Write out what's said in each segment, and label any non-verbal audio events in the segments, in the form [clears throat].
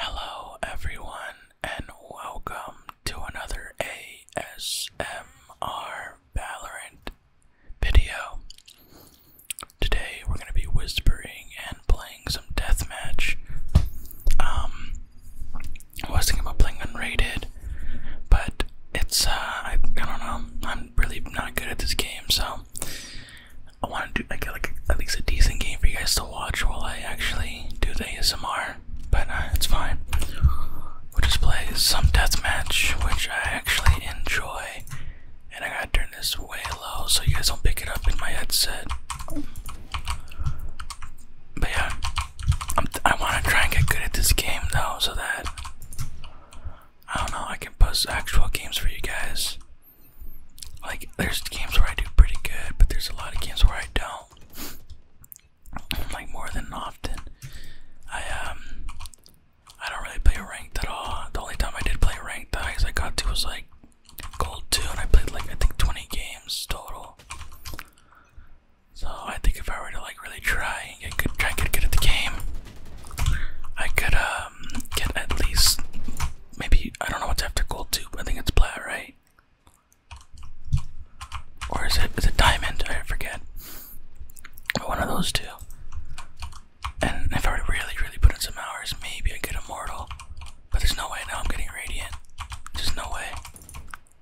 Hello, everyone, and welcome to another ASMR Valorant video. Today, we're going to be whispering and playing some deathmatch. Um, I was thinking about playing unrated, but it's, uh, I, I don't know, I'm really not good at this game, so I want to do like, at least a decent game for you guys to watch while I actually do the ASMR, but uh, it's fine. We'll just play some deathmatch, which I actually enjoy. And I gotta turn this way low so you guys don't pick it up in my headset. But yeah, i I want to try and get good at this game though, so that I don't know I can post actual games for you guys. Like, there's games where I do pretty good, but there's a lot of games where I don't. [clears throat] Like, more than often. I, um, I don't really play ranked at all. The only time I did play ranked, the highest I got to was, like, gold 2, and I played, like, I think 20 games total. So, I think if I were to, like, really try and get good, try and get good at the game, I could, um, get at least maybe I don't know what's after Gold Tube. I think it's Plat, right? Or is it is it Diamond? I forget. One of those two. And if I really, really put in some hours, maybe I get Immortal. But there's no way now I'm getting Radiant. There's no way.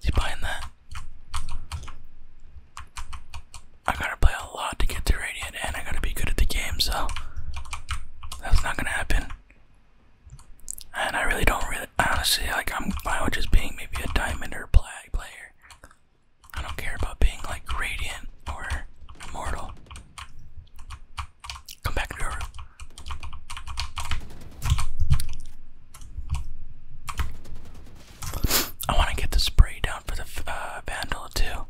Is he buying that? I gotta play a lot to get to Radiant and I gotta be good at the game, so that's not gonna happen. And I really don't really, honestly, like I'm fine with just being maybe a diamond or black player. I don't care about being like radiant or immortal. Come back to your room. I want to get the spray down for the uh, Vandal too,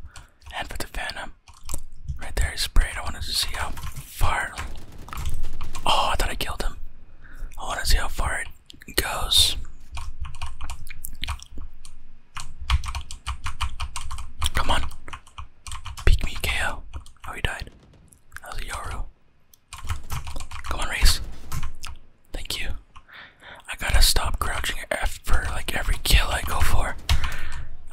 and for the Phantom. Right there, he sprayed. I wanted to see how far. Oh, I thought I killed him. I want to see how far it goes. Come on. pick me, KO. Oh, he died. That was a Yoru. Come on, race. Thank you. I gotta stop crouching at for like every kill I go for.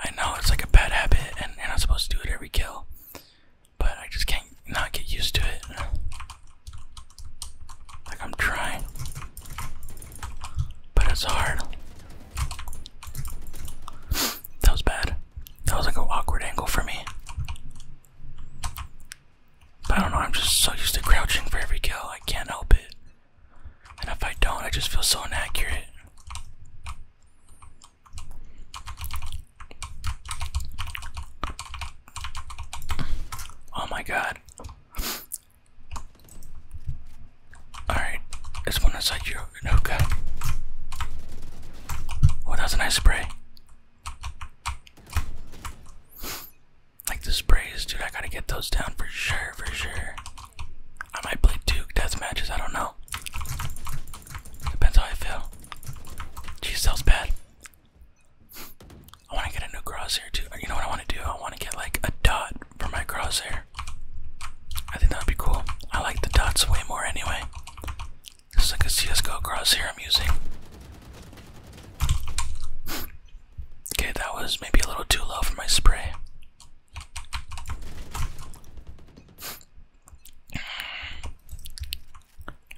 I know it's like a bad habit, and I'm not supposed to do it every kill, but I just can't not get used to it. Like I'm trying, but it's hard. That was bad. That was like an awkward angle for me. I don't know, I'm just so used to crouching for every kill, I can't help it. And if I don't, I just feel so inaccurate. Oh my god. Alright, this one inside you. No good. Oh, that's a nice spray. Like the sprays, dude, I gotta get those down for sure, for sure. I might play Duke death matches, I don't know. Depends how I feel. Jeez, that bad. I wanna get a new crosshair too. You know what I wanna do? I wanna get like a dot from my crosshair. I think that would be cool. I like the dots way more anyway. This is like a CSGO crosshair I'm using. Okay, that was maybe a little too low for my spray.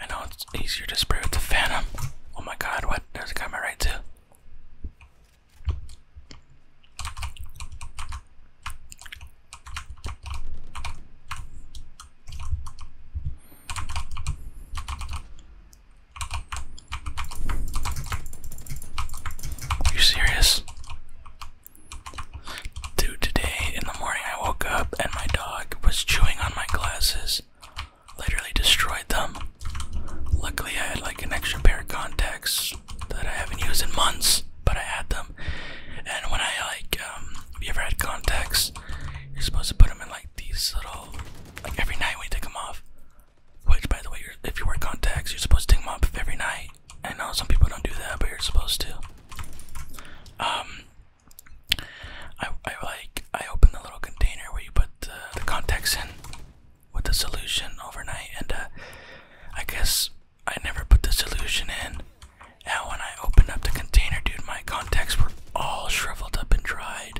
I know it's easier to spray with the Phantom. Oh my god, what? There's a guy my right, too. Are you serious? Dude, today in the morning I woke up and my dog was chewing on my glasses. Literally destroyed them. Luckily, I had like an extra pair of contacts that I haven't used in months, but I had them. And when I like, um, have you ever had contacts? You're supposed to put them in like these little, like every night we take them off. Which, by the way, if you wear contacts, you're supposed to take them off every night. I know some people don't do that, but you're supposed to. Um, I, I like I opened the little container where you put the, the contacts in with the solution overnight, and uh, I guess I never put the solution in. And when I opened up the container, dude, my contacts were all shriveled up and dried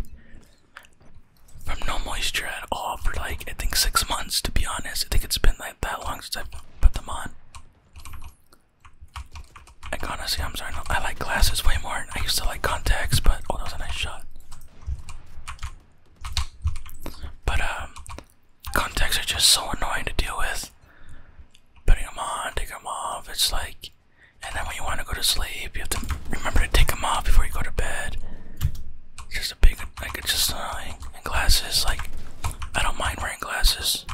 from no moisture at all for like I think six months to be honest. I think it's been like that long since i put them on. I honestly, I'm sorry. No, I like glasses way more. I used to like contacts, but oh, that was a nice shot. But um, contacts are just so annoying to deal with. Putting them on, taking them off. It's like and then when you want to go to sleep, you have to remember to take them off before you go to bed. Just a big, like it's just uh, and glasses. Like I don't mind wearing glasses.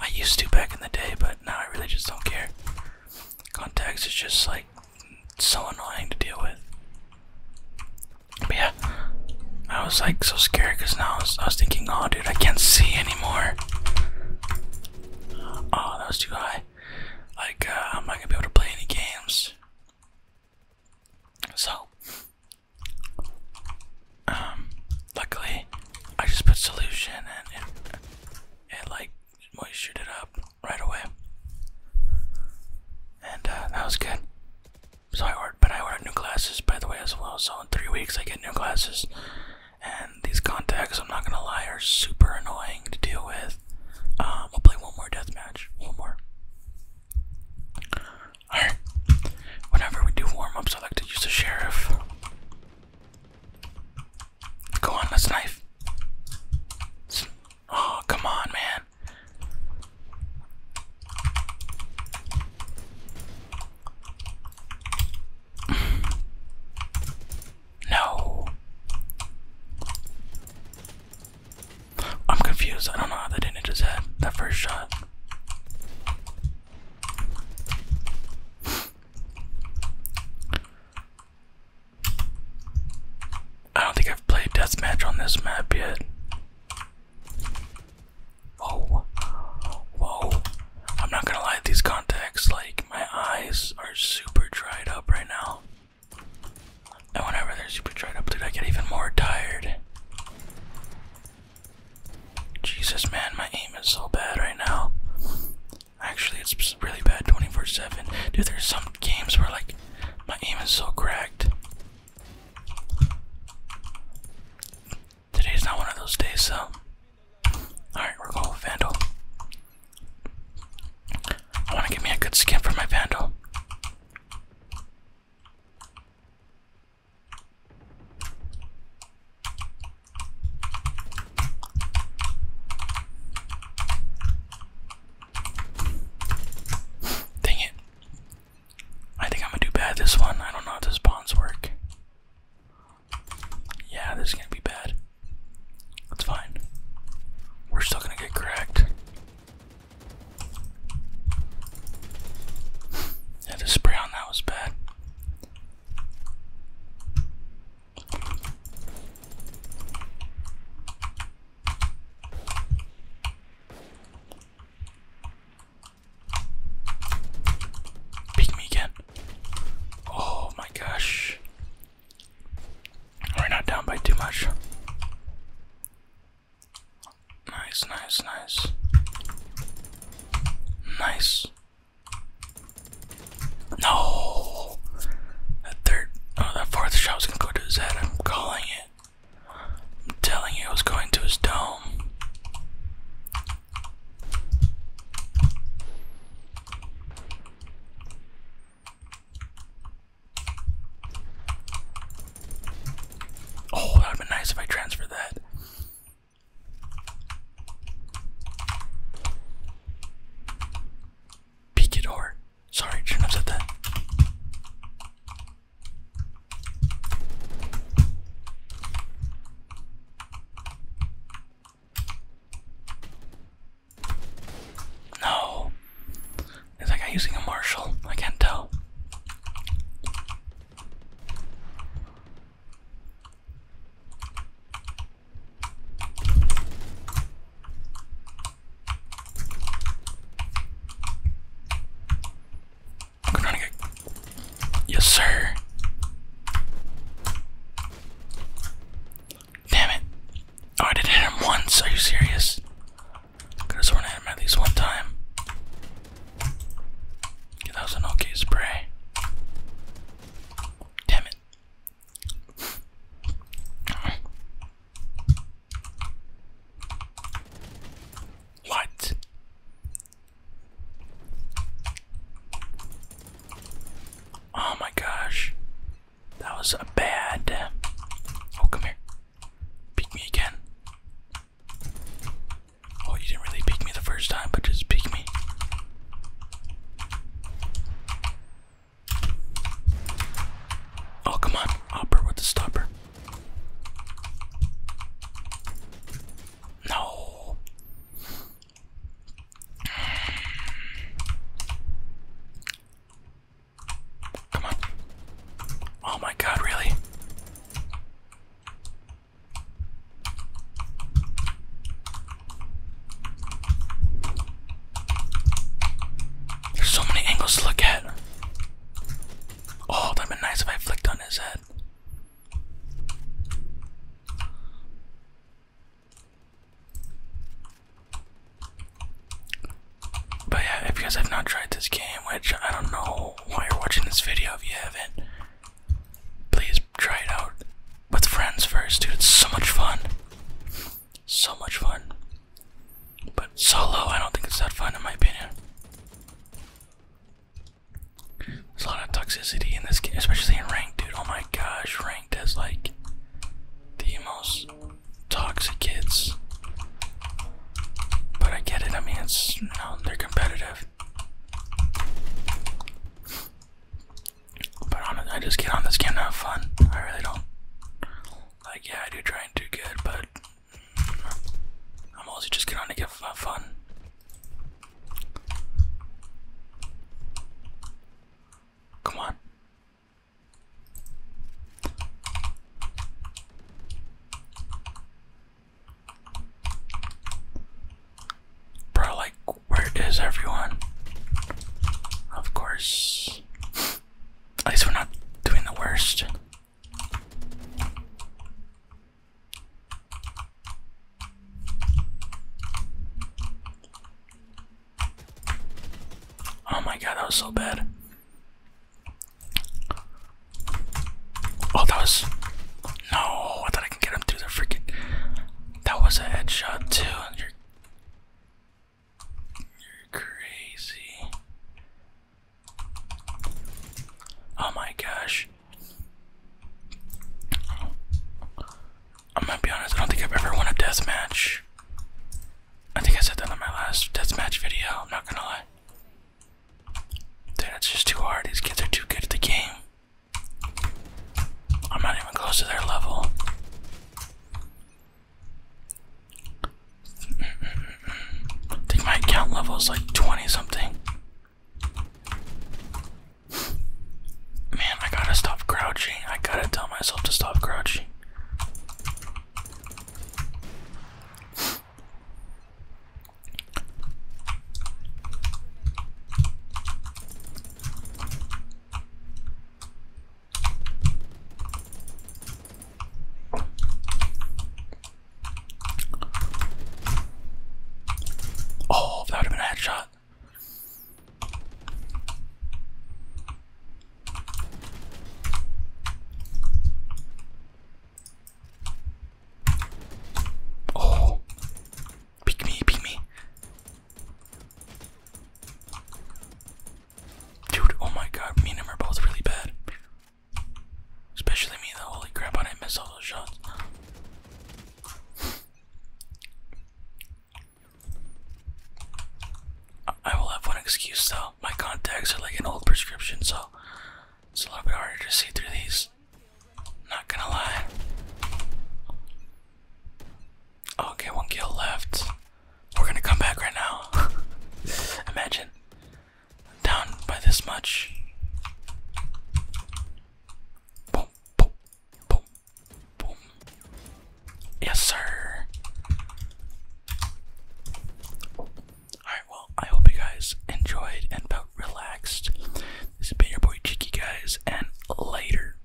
I used to back in the day, but now I really just don't care. Contacts is just like so annoying to deal with. But yeah, I was like so scared because now I was, I was thinking, oh dude, I can't see anymore. Oh, that was too high. Like, uh, I'm not gonna be able to play any games. So, um, luckily, I just put solution and it, like moisturized it up right away. And uh, that was good. So I ordered, but I ordered new glasses by the way as well. So in three weeks I get new glasses. And these contacts, I'm not gonna lie, are super annoying to deal with. we'll um, play one more deathmatch. One more. Alright. Whenever we do warm I like to use the sheriff. Go on, let's knife. Oh, come on, man. No. I'm confused. I don't know how that didn't hit his head. That first shot. I don't think I've played deathmatch on this map yet. Whoa. Whoa. I'm not gonna lie, these contacts, like, my eyes are super dried up right now. And whenever they're super dried up, dude, I get even more tired. Jesus, man, my aim is so bad right now. Actually, it's really bad 24-7. Dude, there's some games where, like, my aim is so cracked. Today's not one of those days, so. Alright, we're going with Vandal. I want to give me a good skin for my Vandal. Dang it. I think I'm gonna do bad this one. I don't know how the spawns work. Yeah, this is gonna be bad. That's fine. We're still gonna get cracked. [laughs] Yeah, the spray on that was bad. Pick me again. Oh my gosh. We're not down by too much. Nice, nice, nice. Nice. No! That third, oh, that fourth shot was gonna go to his head. I'm calling it. I'm telling you, it was going to his dome. Oh, that would have been nice if I transferred that. Peek it or sorry, shouldn't have said that. No. like I'm using a Marshall. I can't tell. Yes, sir. Damn it. Oh, I did hit him once. Are you serious? Could I hit him at least one time. that was an okay spray. Damn it. What? Oh my gosh. That was a bad. Oh, come here. Peek me again. Oh, you didn't really peek me the first time, but just peek me. Oh, come on. Hopper with the stopper. No. Come on. Oh my god, really? There's so many angles to look at. Oh, that'd been nice if I flicked on his head. But yeah, if you guys have not tried this game, which I don't know why you're watching this video if you haven't, please try it out with friends first, dude. It's so much fun. So much fun. But solo, I don't think it's that fun in my opinion. There's a lot of toxicity in this game, especially in ranked, dude. Oh my gosh, ranked has like the most toxic kids. But I get it. I mean, it's you know, they're competitive. But on, I just get on this game to have fun. I really don't. Like, yeah, I do try and do good, but I'm also just going to get fun. Come on. Bro, like, where is everyone? Of course. [laughs] At least we're not doing the worst. Oh my god, that was so bad. Oh, that was. No, I thought I could get him through the freaking. That was a headshot, too. You're crazy. Oh my gosh. I'm gonna be honest, I don't think I've ever won a death match. I think I said that in my last death match video, I'm not gonna lie. Dude, it's just too hard. These kids are too good at the game. I'm not even close to their level. I think my account level is like 20 something. Man, I gotta stop crouching. I gotta tell myself to stop crouching. Oh, that would have been a headshot. Oh, pick me, pick me. Dude, oh my god, me and him are both really bad. Especially me though, holy crap, I didn't miss all those shots. I will have one excuse though. My contacts are like an old prescription, so it's a little bit harder to see through these. Not gonna lie. Okay, one kill left. We're gonna come back right now. [laughs] Imagine. Down by this much. Boom, boom, boom, boom. Yes, sir. Alright, well, I hope you guys enjoyed and felt relaxed. This has been your boy Cheeky, guys, and later.